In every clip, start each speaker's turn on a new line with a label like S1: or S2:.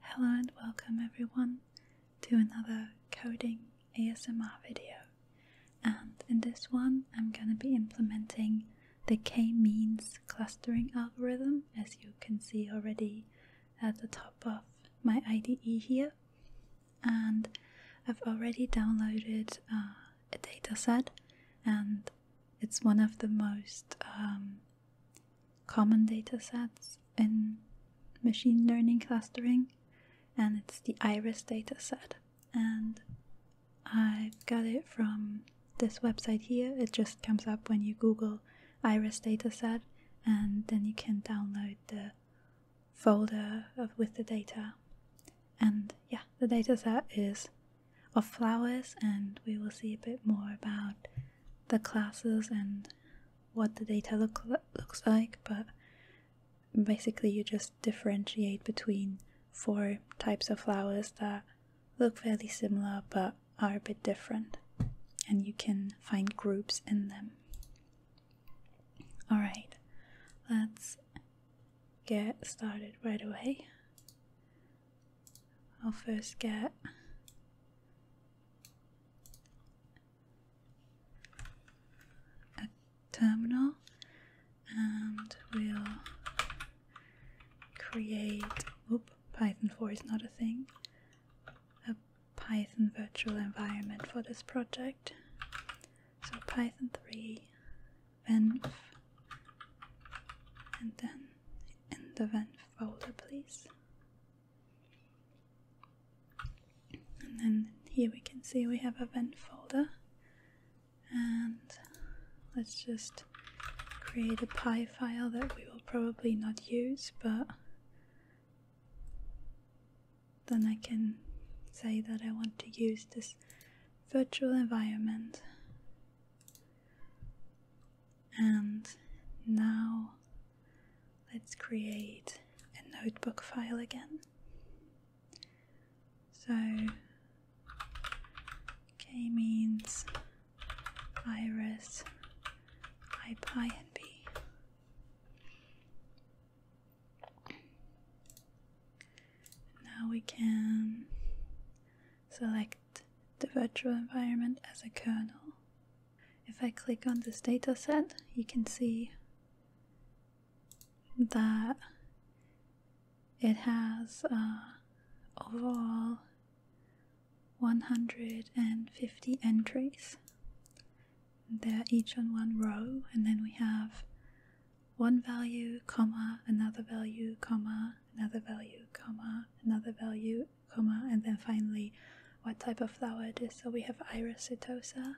S1: Hello and welcome everyone to another coding ASMR video and in this one I'm going to be implementing the k-means clustering algorithm as you can see already at the top of my IDE here and I've already downloaded uh, a data set, and it's one of the most um, common data sets in machine learning clustering, and it's the iris dataset. And I have got it from this website here. It just comes up when you Google iris dataset, and then you can download the folder with the data. And yeah, the dataset is of flowers, and we will see a bit more about the classes and what the data look looks like, but basically you just differentiate between four types of flowers that look fairly similar but are a bit different, and you can find groups in them. All right, let's get started right away. I'll first get a terminal and we'll create whoop, Python 4 is not a thing a Python virtual environment for this project so Python 3 venv and then in the venv folder please and then here we can see we have event folder and let's just create a PI file that we will probably not use but then I can say that I want to use this virtual environment and now let's create a notebook file again. So K means iris, ipy, and b. Now we can select the virtual environment as a kernel if I click on this dataset, you can see that it has uh, overall 150 entries. They're each on one row, and then we have one value, comma, another value, comma, another value, comma, another value, comma, and then finally what type of flower it is. So we have Iris setosa,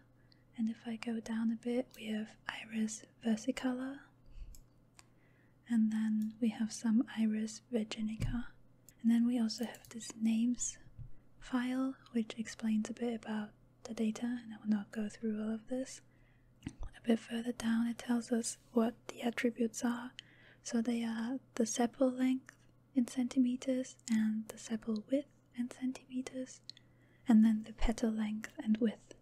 S1: and if I go down a bit, we have Iris versicolor, and then we have some Iris virginica, and then we also have this names file which explains a bit about the data, and I will not go through all of this. A bit further down, it tells us what the attributes are. So they are the sepal length, in centimeters and the sepal width in centimeters and then the petal length and width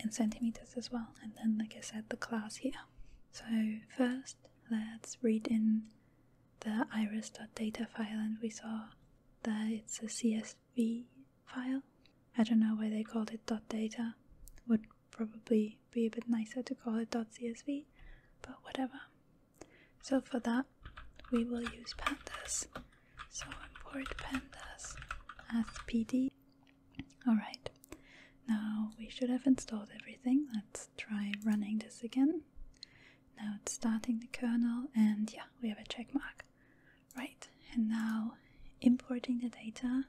S1: in centimeters as well and then like i said the class here so first let's read in the iris.data file and we saw that it's a csv file i don't know why they called it .data would probably be a bit nicer to call it .csv but whatever so for that, we will use pandas. So import pandas as pd. Alright, now we should have installed everything. Let's try running this again. Now it's starting the kernel and yeah, we have a check mark. Right, and now importing the data,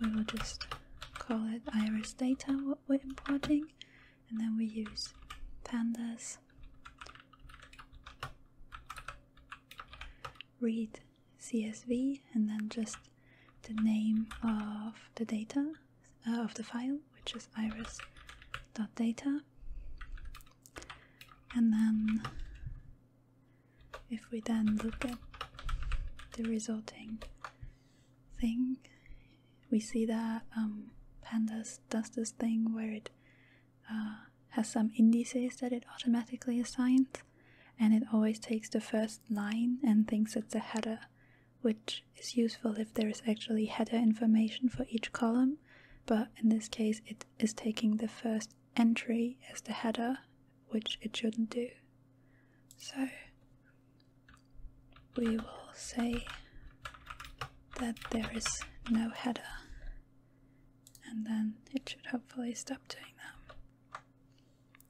S1: we will just call it iris data what we're importing and then we use pandas read CSV and then just the name of the data uh, of the file which is iris.data and then if we then look at the resulting thing. We see that um, Pandas does this thing where it uh, has some indices that it automatically assigns, and it always takes the first line and thinks it's a header, which is useful if there is actually header information for each column, but in this case it is taking the first entry as the header, which it shouldn't do. So we will say that there is no header and then it should hopefully stop doing that.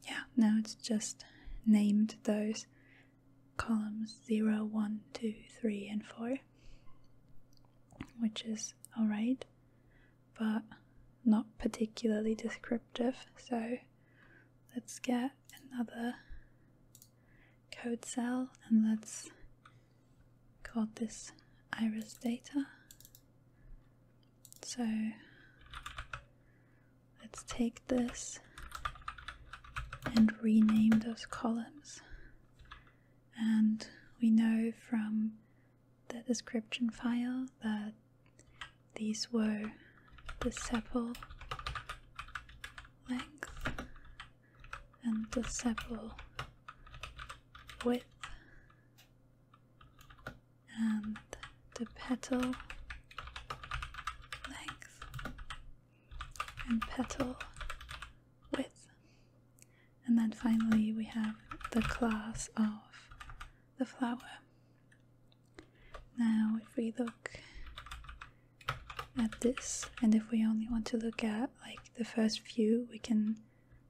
S1: Yeah, now it's just named those columns 0, 1, 2, 3 and 4 which is alright but not particularly descriptive so let's get another code cell and let's call this iris data. So let's take this and rename those columns. And we know from the description file that these were the sepal length and the sepal width and the petal length and petal width. And then finally we have the class of the flower. Now, if we look at this, and if we only want to look at like the first few, we can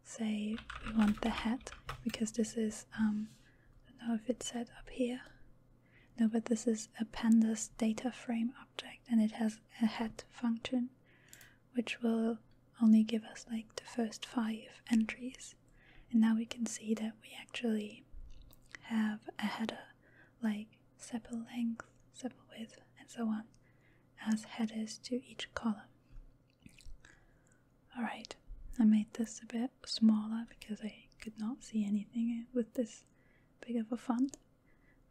S1: say we want the head because this is, um, I know if it's set up here. No, but this is a pandas data frame object and it has a head function which will only give us like the first five entries. And now we can see that we actually have a header like sepal length, sepal width, and so on, as headers to each column. Alright, I made this a bit smaller because I could not see anything with this big of a font.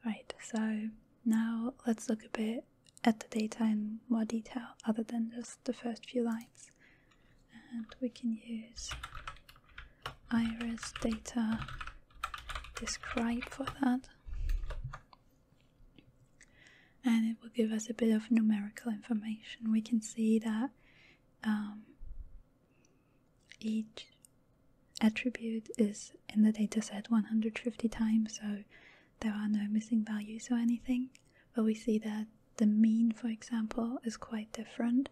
S1: Right, so now let's look a bit at the data in more detail other than just the first few lines. And we can use iris data describe for that and it will give us a bit of numerical information we can see that um, each attribute is in the dataset 150 times so there are no missing values or anything but we see that the mean for example is quite different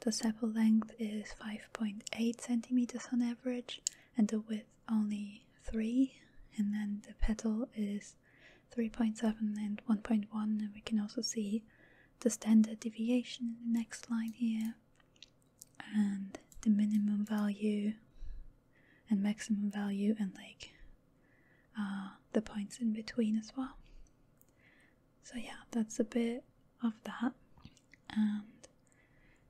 S1: the sepal length is 5.8 centimeters on average, and the width only 3, and then the petal is 3.7 and 1.1, and we can also see the standard deviation in the next line here, and the minimum value and maximum value, and like uh, the points in between as well. So, yeah, that's a bit of that. And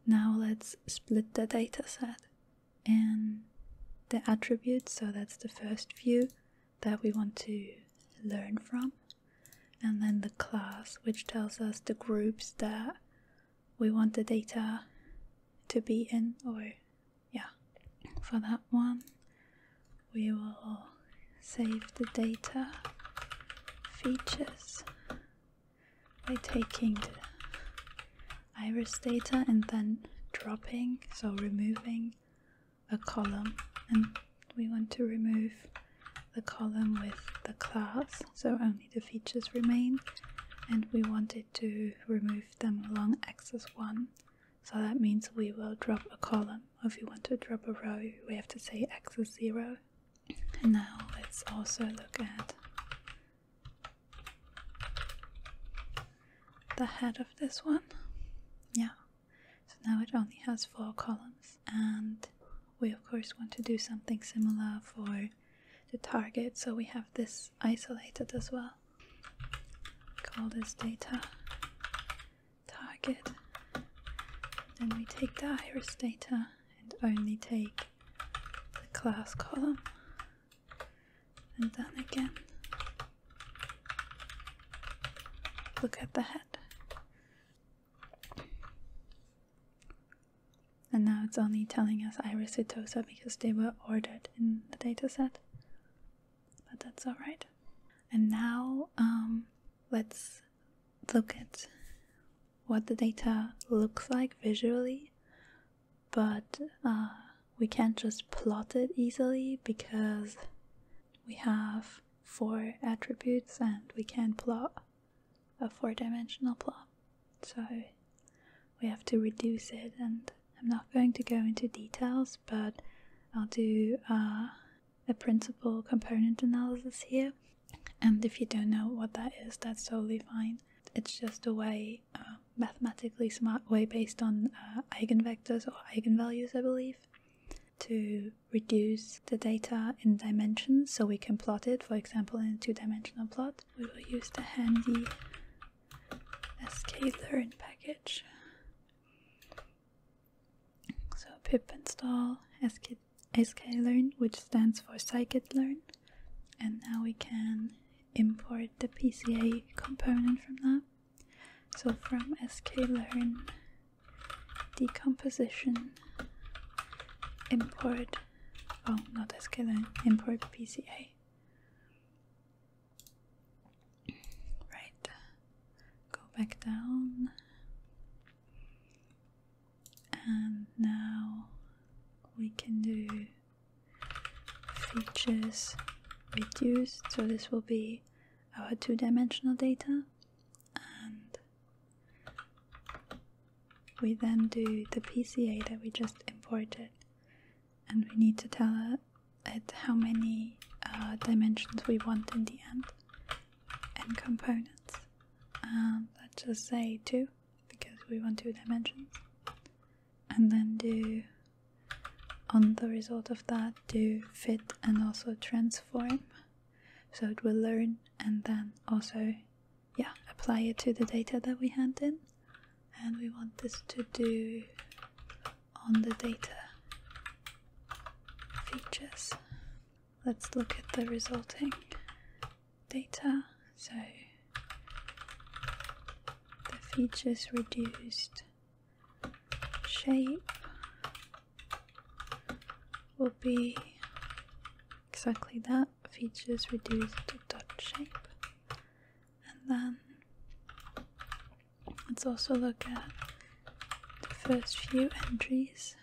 S1: now let's split the data set in the attributes. So, that's the first view that we want to learn from. And then the class, which tells us the groups that we want the data to be in, or yeah, for that one, we will save the data features by taking the iris data and then dropping, so removing a column. And we want to remove the column with the class, so only the features remain. And we wanted to remove them along axis 1. So that means we will drop a column. If you want to drop a row, we have to say axis 0. And now let's also look at the head of this one. Yeah, so now it only has four columns, and we of course want to do something similar for the target, so we have this isolated as well. Call this data target. Then we take the iris data and only take the class column and then again look at the head. And now it's only telling us Iris setosa because they were ordered in the data set, But that's alright. And now um, let's look at what the data looks like visually, but uh, we can't just plot it easily because we have four attributes and we can plot a four dimensional plot. So we have to reduce it, and I'm not going to go into details, but I'll do uh, the principal component analysis here. And if you don't know what that is, that's totally fine. It's just a way, uh, mathematically smart way based on uh, eigenvectors or eigenvalues, I believe, to reduce the data in dimensions so we can plot it, for example, in a two dimensional plot. We will use the handy sklearn package so pip install sklearn, which stands for scikit-learn, and now we can import the PCA component from that. So from sklearn decomposition import oh not sklearn import PCA. Right, go back down and now we can do features reduced so this will be our two-dimensional data and we then do the PCA that we just imported and we need to tell it how many uh, dimensions we want in the end and components um, let's just say 2 because we want two dimensions and then do on the result of that do fit and also transform so it will learn and then also yeah apply it to the data that we hand in and we want this to do on the data features let's look at the resulting data. So the features reduced shape will be exactly that features reduced dot shape and then let's also look at the first few entries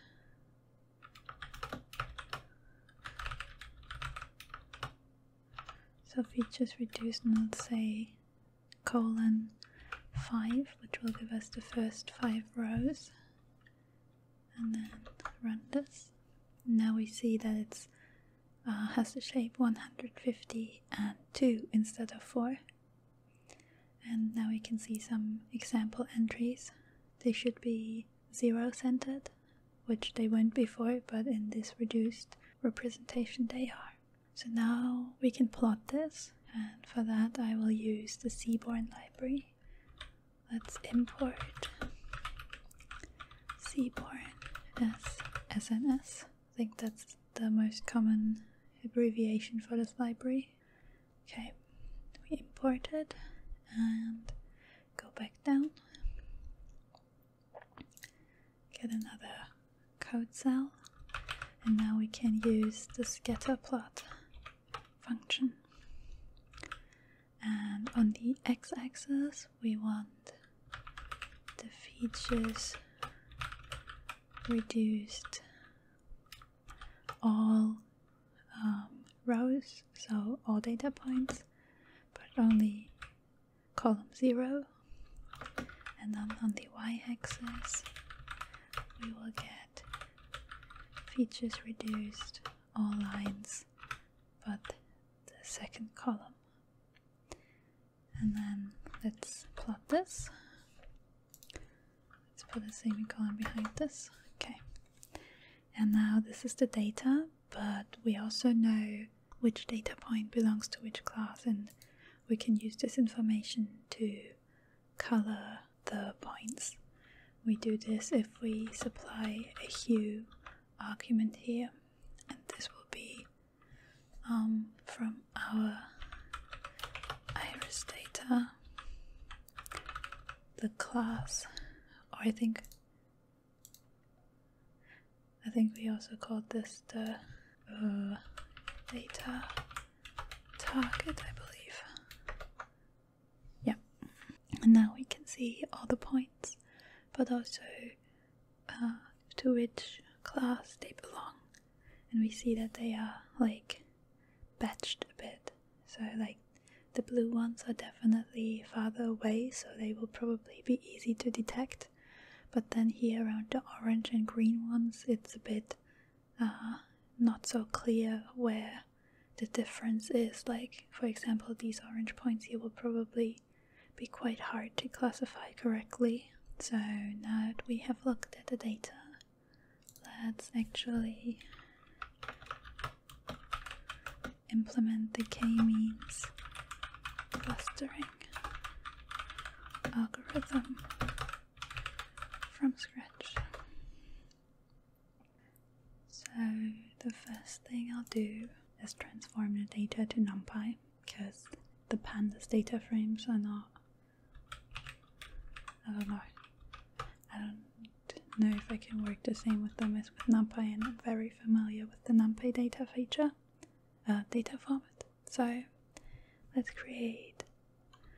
S1: so if we just reduce and say colon 5, which will give us the first 5 rows, and then run this, now we see that it's uh, has the shape 150 and 2 instead of 4 and now we can see some example entries. They should be zero centered, which they weren't before, but in this reduced representation they are. So now we can plot this, and for that I will use the Seaborn library. Let's import Seaborn as SNS. I think that's the most common abbreviation for this library. Okay, we import it and go back down. Get another code cell, and now we can use the scatter plot function. And on the x axis, we want the features reduced all um, rows, so all data points, but only column 0. And then on the y axis, we will get features reduced, all lines, but the second column. And then let's plot this. Let's put a semicolon behind this. Okay. And now this is the data, but we also know which data point belongs to which class, and we can use this information to color the points. We do this if we supply a hue argument here, and this will be um, from our iris data the class. or oh, I think. I think we also called this the uh, data target, I believe. Yeah. And now we can see all the points, but also uh, to which class they belong. And we see that they are like batched a bit. So, like, the blue ones are definitely farther away, so they will probably be easy to detect. But then here around the orange and green ones, it's a bit uh, not so clear where the difference is. Like, for example, these orange points here will probably be quite hard to classify correctly. So now that we have looked at the data, let's actually implement the k-means clustering algorithm from scratch. So the first thing I'll do is transform the data to NumPy because the pandas data frames are not I do I don't know if I can work the same with them as with NumPy and I'm very familiar with the NumPy data feature, uh, data format. So let's create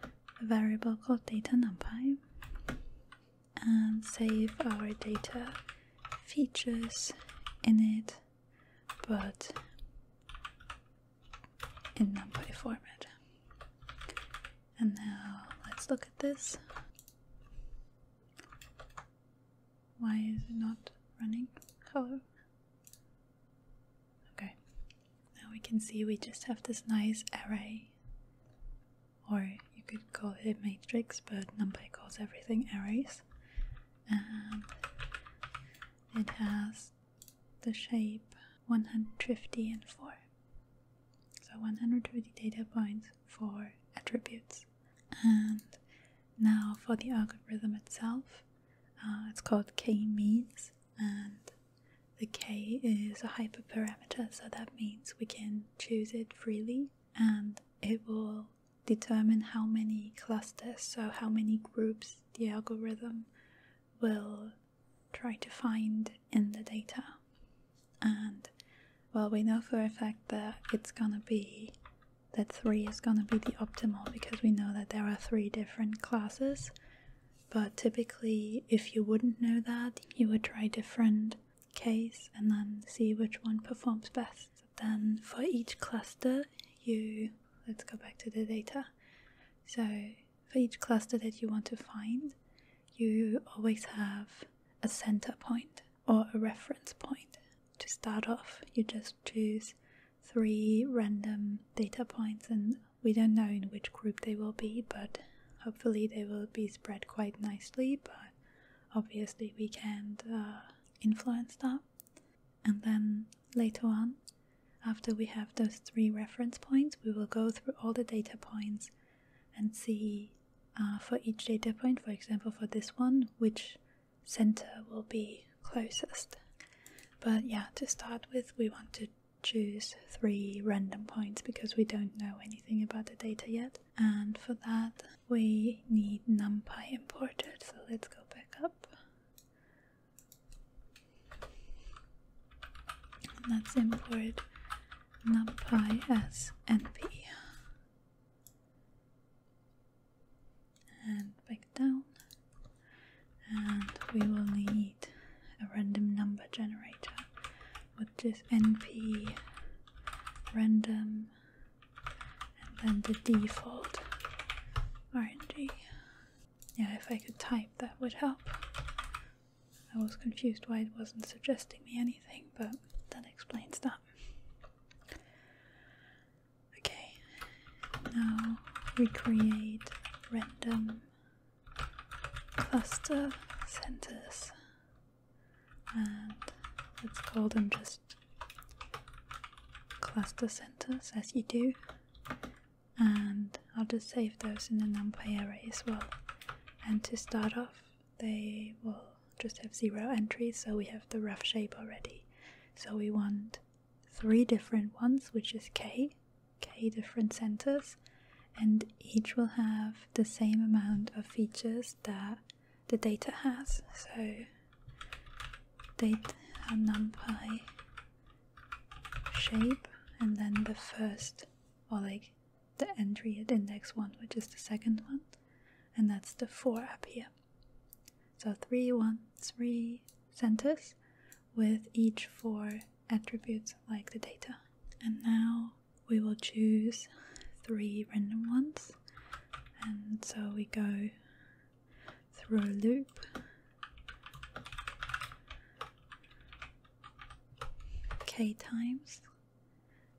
S1: a variable called data NumPy and save our data features in it, but in NumPy format. And now let's look at this. Why is it not running? Hello. Okay. Now we can see we just have this nice array. Or you could call it matrix, but NumPy calls everything arrays. And it has the shape 150 and 4 so 120 data points for attributes. And now for the algorithm itself, uh, it's called k-means, and the k is a hyperparameter, so that means we can choose it freely, and it will determine how many clusters, so how many groups the algorithm will try to find in the data. And well, we know for a fact that it's gonna be that 3 is gonna be the optimal because we know that there are three different classes. But typically, if you wouldn't know that, you would try different case and then see which one performs best. Then for each cluster, you let's go back to the data. So for each cluster that you want to find, you always have a center point or a reference point. To start off, you just choose three random data points, and we don't know in which group they will be, but hopefully they will be spread quite nicely. But obviously, we can't uh, influence that. And then later on, after we have those three reference points, we will go through all the data points and see uh, for each data point, for example, for this one, which center will be closest. But yeah, to start with, we want to choose three random points because we don't know anything about the data yet. And for that, we need NumPy imported. So let's go back up. let's import NumPy as NP. And back down. And we will need a random number generator, which is NP random and then the default RNG. Yeah, if I could type that would help. I was confused why it wasn't suggesting me anything, but that explains that. Okay, now create random cluster centers and let's call them just cluster centers as you do and I'll just save those in a NumPy array as well. And to start off, they will just have zero entries, so we have the rough shape already. So we want three different ones, which is k, k different centers, and each will have the same amount of features that the data has. So data numpy shape and then the first or like the entry at index 1, which is the second one, and that's the 4 up here. So three one three 1, centers with each 4 attributes like the data. And now we will choose 3 random ones. And so we go through a loop k times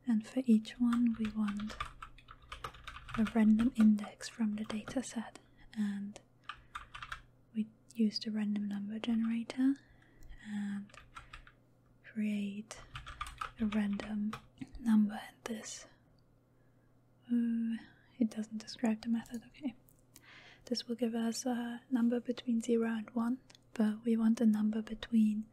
S1: and for each one we want a random index from the data set and we use the random number generator and create a random number at this uh, it doesn't describe the method okay this will give us a number between 0 and 1 but we want a number between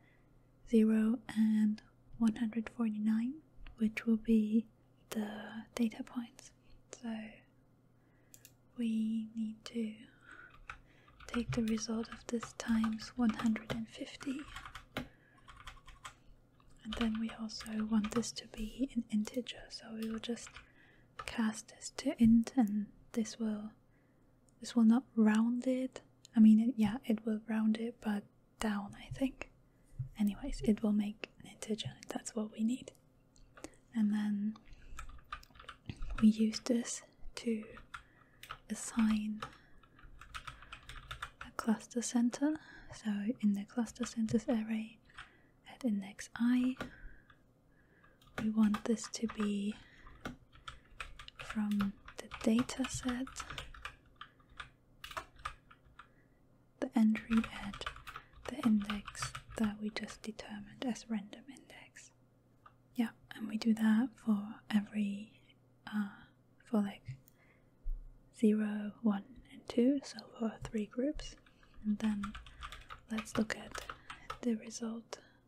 S1: 0 and 149, which will be the data points. So we need to take the result of this times 150 and then we also want this to be an integer so we will just cast this to int and this will this will not round it i mean yeah it will round it but down i think anyways it will make an integer that's what we need and then we use this to assign a cluster center so in the cluster centers array at index i we want this to be from the dataset, the entry at the index that we just determined as random index yeah and we do that for every uh, for like 0 1 and 2 so for three groups and then let's look at the result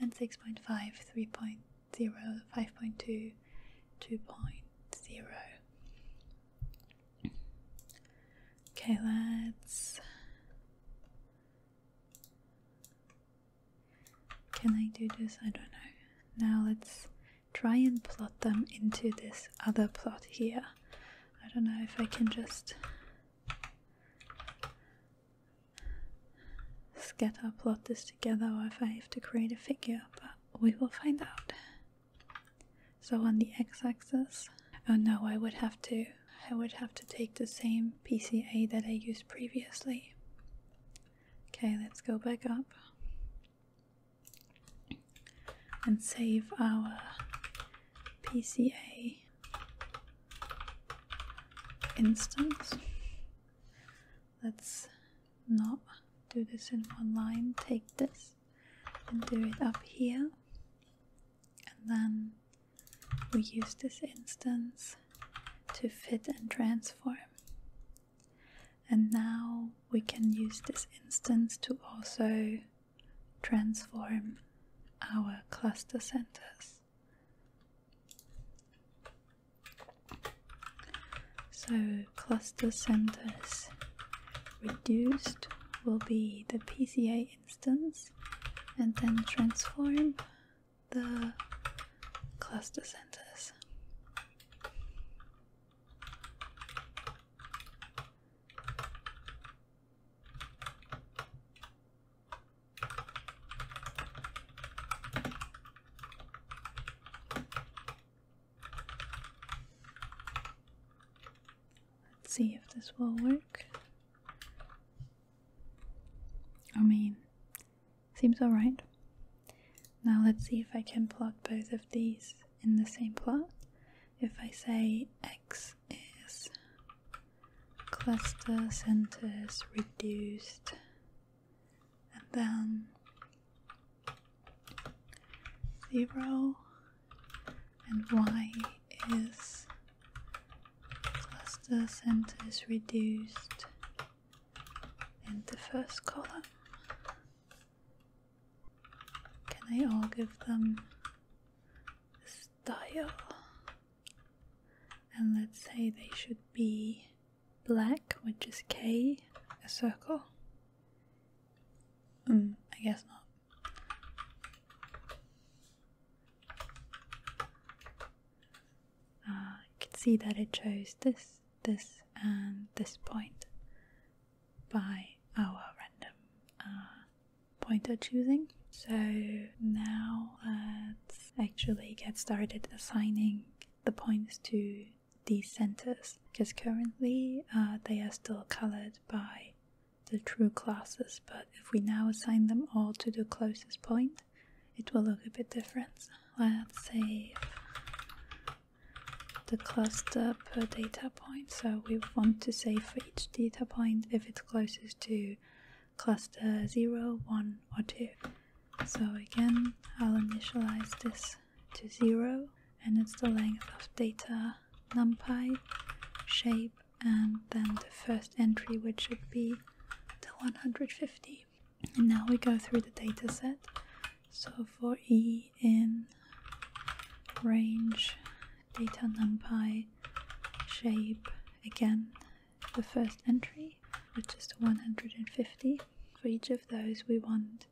S1: and 6.5, 3.0, 5.2, 2.0. Okay, let's. Can I do this? I don't know. Now let's try and plot them into this other plot here. I don't know if I can just scatter plot this together if I have to create a figure, but we will find out. So on the x-axis, oh no, I would have to I would have to take the same PCA that I used previously. Okay, let's go back up and save our PCA instance. Let's not do this in one line, take this and do it up here, and then we use this instance to fit and transform. And now we can use this instance to also transform our cluster centers. So, cluster centers reduced will be the PCA instance and then transform the cluster centers. Let's see if this will work. I mean, seems alright. Now let's see if I can plot both of these in the same plot. If I say x is cluster centers reduced, and then zero and y is cluster centers reduced in the first column. Can I all give them a style? and let's say they should be black, which is K, a circle. Mm, I guess not. Uh, ah, I can see that it chose this, this, and this point by our random uh, pointer choosing. So now uh, let's actually get started assigning the points to these centers because currently uh, they are still colored by the true classes but if we now assign them all to the closest point it will look a bit different let's save the cluster per data point so we want to save for each data point if it's closest to cluster 0, 1 or 2. So again, I'll initialize this to 0 and it's the length of data numpy shape and then the first entry which should be the 150. And now we go through the data set. So for E in range data numpy shape again the first entry which is 150 for each of those we want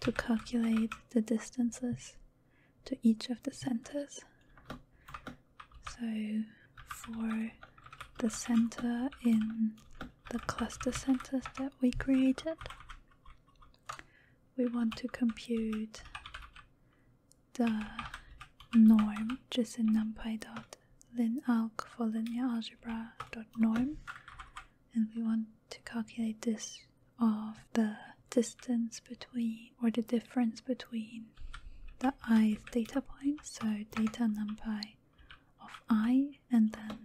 S1: to calculate the distances to each of the centers so for the center in the cluster centers that we created we want to compute the norm just in numpy dot linalc for linear algebra dot norm and we want to calculate this of the distance between or the difference between the i data point so data numpy of i and then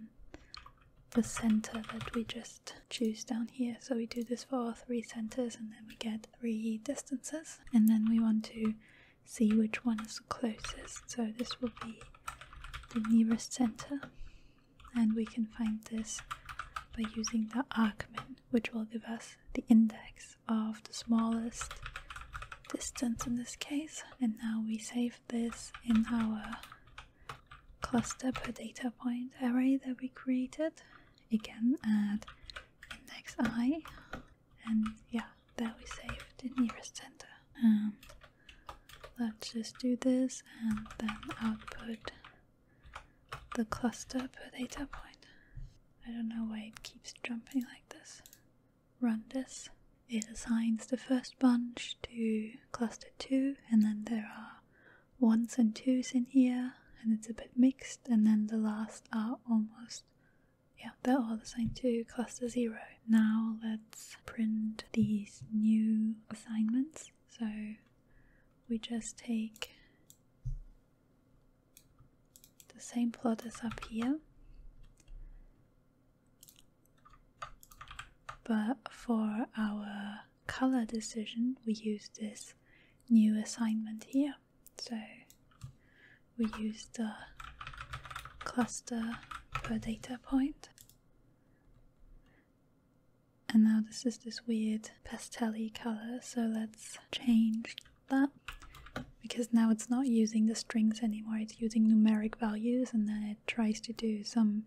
S1: the center that we just choose down here so we do this for all three centers and then we get three distances and then we want to see which one is the closest. So this will be the nearest center, and we can find this by using the argmin, which will give us the index of the smallest distance in this case. And now we save this in our cluster per data point array that we created. Again, add index i and yeah, there we saved the nearest center. Um, let's just do this and then output the cluster per data point. I don't know why it keeps jumping like this. Run this. It assigns the first bunch to cluster 2, and then there are ones and twos in here, and it's a bit mixed, and then the last are almost yeah, they're all the same to cluster zero. Now let's print these new assignments. So we just take the same plot as up here, but for our color decision, we use this new assignment here. So we use the cluster per data And now this is this weird pastelly color, so let's change that because now it's not using the strings anymore, it's using numeric values and then it tries to do some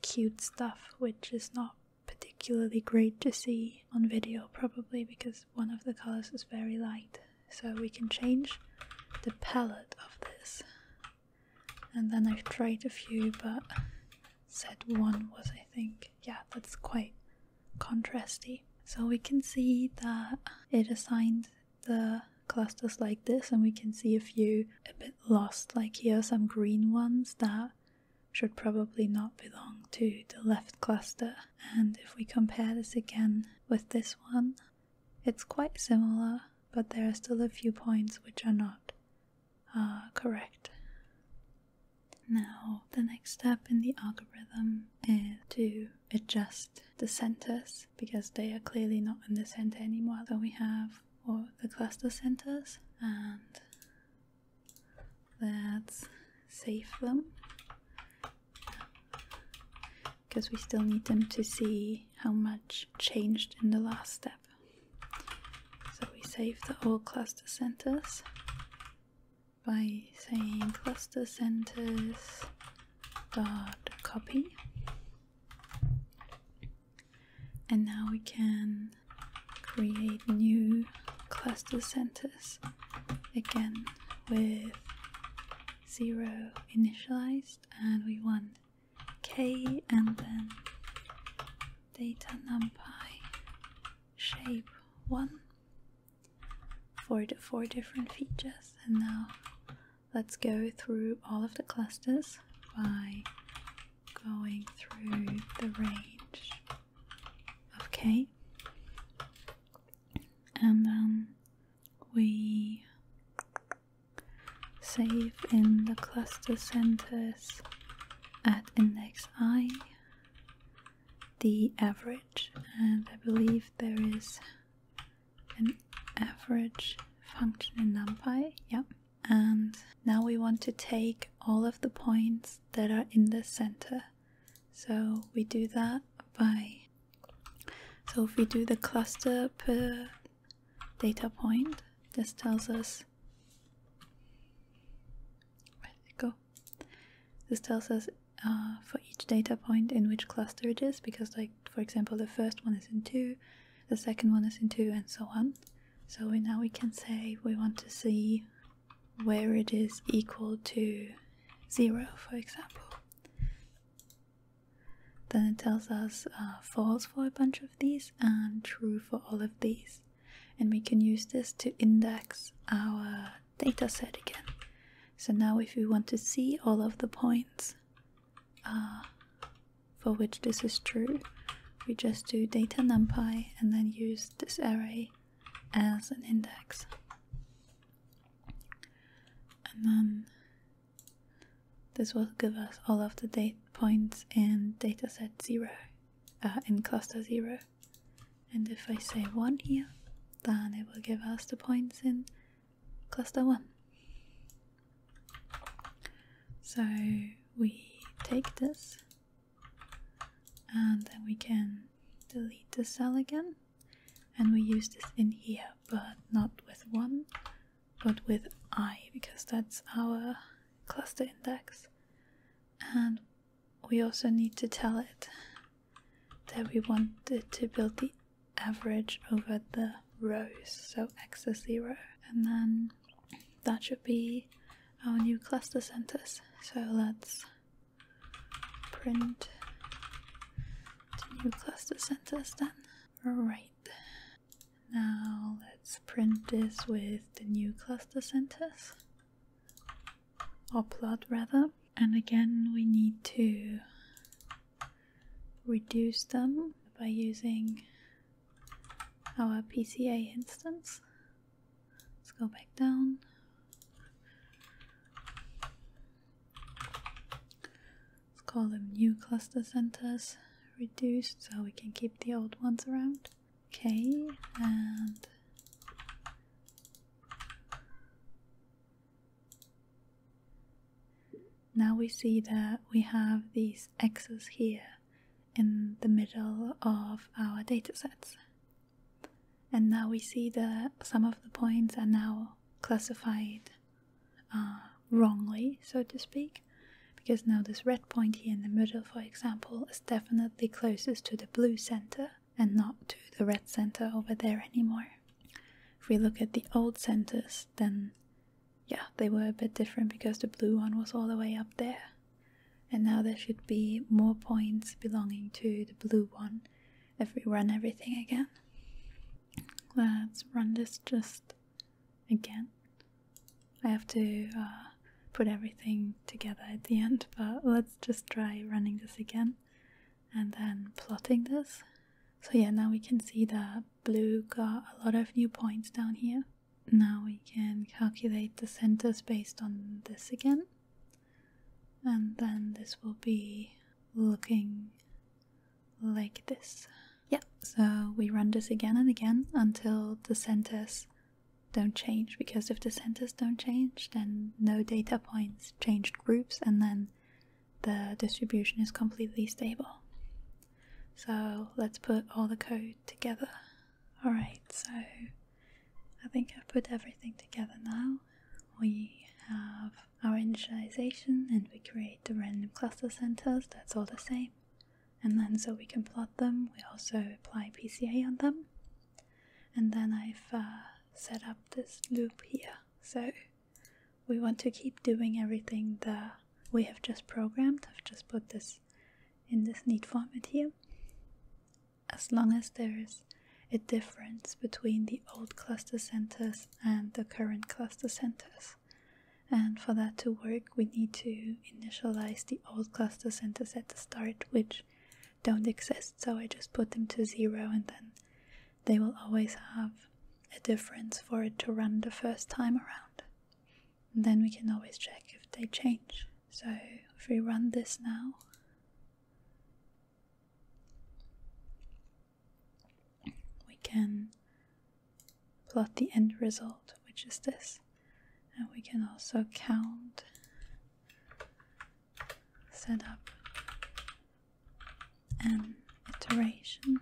S1: cute stuff which is not particularly great to see on video probably because one of the colors is very light so we can change the palette of this and then I've tried a few but said one was I think yeah that's quite contrasty so we can see that it assigned the clusters like this and we can see a few a bit lost like here some green ones that should probably not belong to the left cluster and if we compare this again with this one it's quite similar, but there are still a few points which are not uh, correct. Now, the next step in the algorithm is to adjust the centers because they are clearly not in the center anymore. That we have well, the cluster centers, and let's save them because we still need them to see how much changed in the last step. So we save the old cluster centers by saying cluster centers dot copy and now we can create new cluster centers again with 0 initialized and we want k and then data numpy shape 1 for the four different features and now let's go through all of the clusters by going through the range of k and then um, we save in the cluster centers at index i the average and I believe there is an average function in NumPy, yeah. And now we want to take all of the points that are in the center. So we do that by so if we do the cluster per data point, this tells us where did it go? This tells us uh, for each data point in which cluster it is, because like for example the first one is in two, the second one is in two, and so on. So now we can say we want to see where it is equal to zero, for example. Then it tells us uh, false for a bunch of these and true for all of these. And we can use this to index our data set again. So now, if we want to see all of the points uh, for which this is true, we just do data numpy and then use this array as an index and then this will give us all of the data points in dataset 0 in uh, cluster 0 and if I say 1 here then it will give us the points in cluster 1 so we take this and then we can delete the cell again and we use this in here but not with 1 but with i because that's our cluster index and we also need to tell it that we want to build the average over the rows so x is 0 and then that should be our new cluster centers so let's print the new cluster centers. send then. Right. Now let's print this with the new cluster centers or plot rather. And again we need to reduce them by using our PCA instance. Let's go back down. Let's call them new cluster centers reduced so we can keep the old ones around. Okay, and now we see that we have these x's here in the middle of our data sets and now we see that some of the points are now classified uh, wrongly, so to speak, because now this red point here in the middle, for example, is definitely closest to the blue center and not to the red center over there anymore. If we look at the old centers, then yeah, they were a bit different because the blue one was all the way up there. And now there should be more points belonging to the blue one if we run everything again. Let's run this just again. I have to uh, put everything together at the end, but let's just try running this again and then plotting this. So yeah, now we can see that blue got a lot of new points down here. Now we can calculate the centers based on this again. And then this will be looking like this. Yeah, so we run this again and again until the centers don't change because if the centers don't change, then no data points changed groups and then the distribution is completely stable. So let's put all the code together. Alright, so I think I've put everything together now. We have our initialization and we create the random cluster centers, that's all the same. And then so we can plot them, we also apply PCA on them. And then I've uh, set up this loop here. So we want to keep doing everything that we have just programmed. I've just put this in this neat format here. As long as there is a difference between the old cluster centers and the current cluster centers. And for that to work, we need to initialize the old cluster centers at the start, which don't exist. So I just put them to zero and then they will always have a difference for it to run the first time around. then we can always check if they change. So if we run this now, we can plot the end result, which is this, and we can also count set up an iteration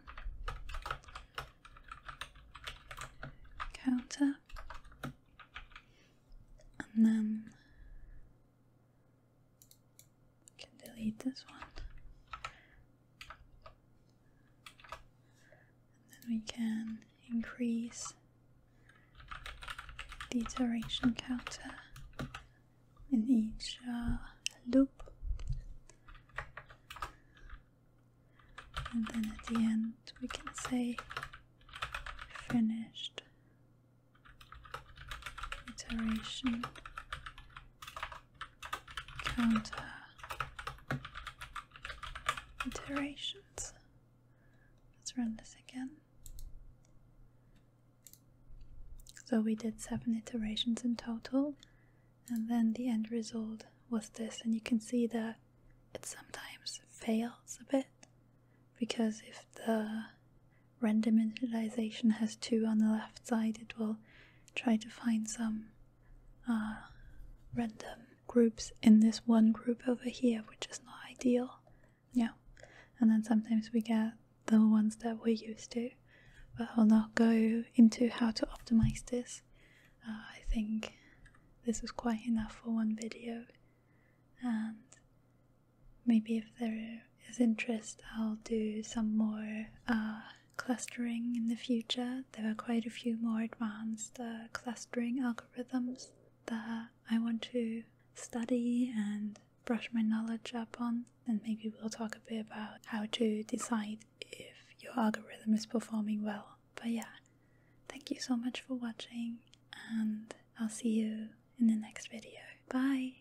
S1: counter and then I can delete this one. And then we can increase the iteration counter in each uh, loop. And then at the end we can say finished iteration counter iterations. Let's run this again. So we did seven iterations in total, and then the end result was this. And you can see that it sometimes fails a bit because if the Random initialization has two on the left side, it will try to find some uh, random groups in this one group over here, which is not ideal. Yeah. And then sometimes we get the ones that we're used to. But I'll not go into how to optimize this. Uh, I think this is quite enough for one video. And Maybe if there is interest, I'll do some more uh, clustering in the future. There are quite a few more advanced uh, clustering algorithms that I want to study and brush my knowledge up on. And maybe we'll talk a bit about how to decide if your algorithm is performing well. But yeah, thank you so much for watching, and I'll see you in the next video. Bye!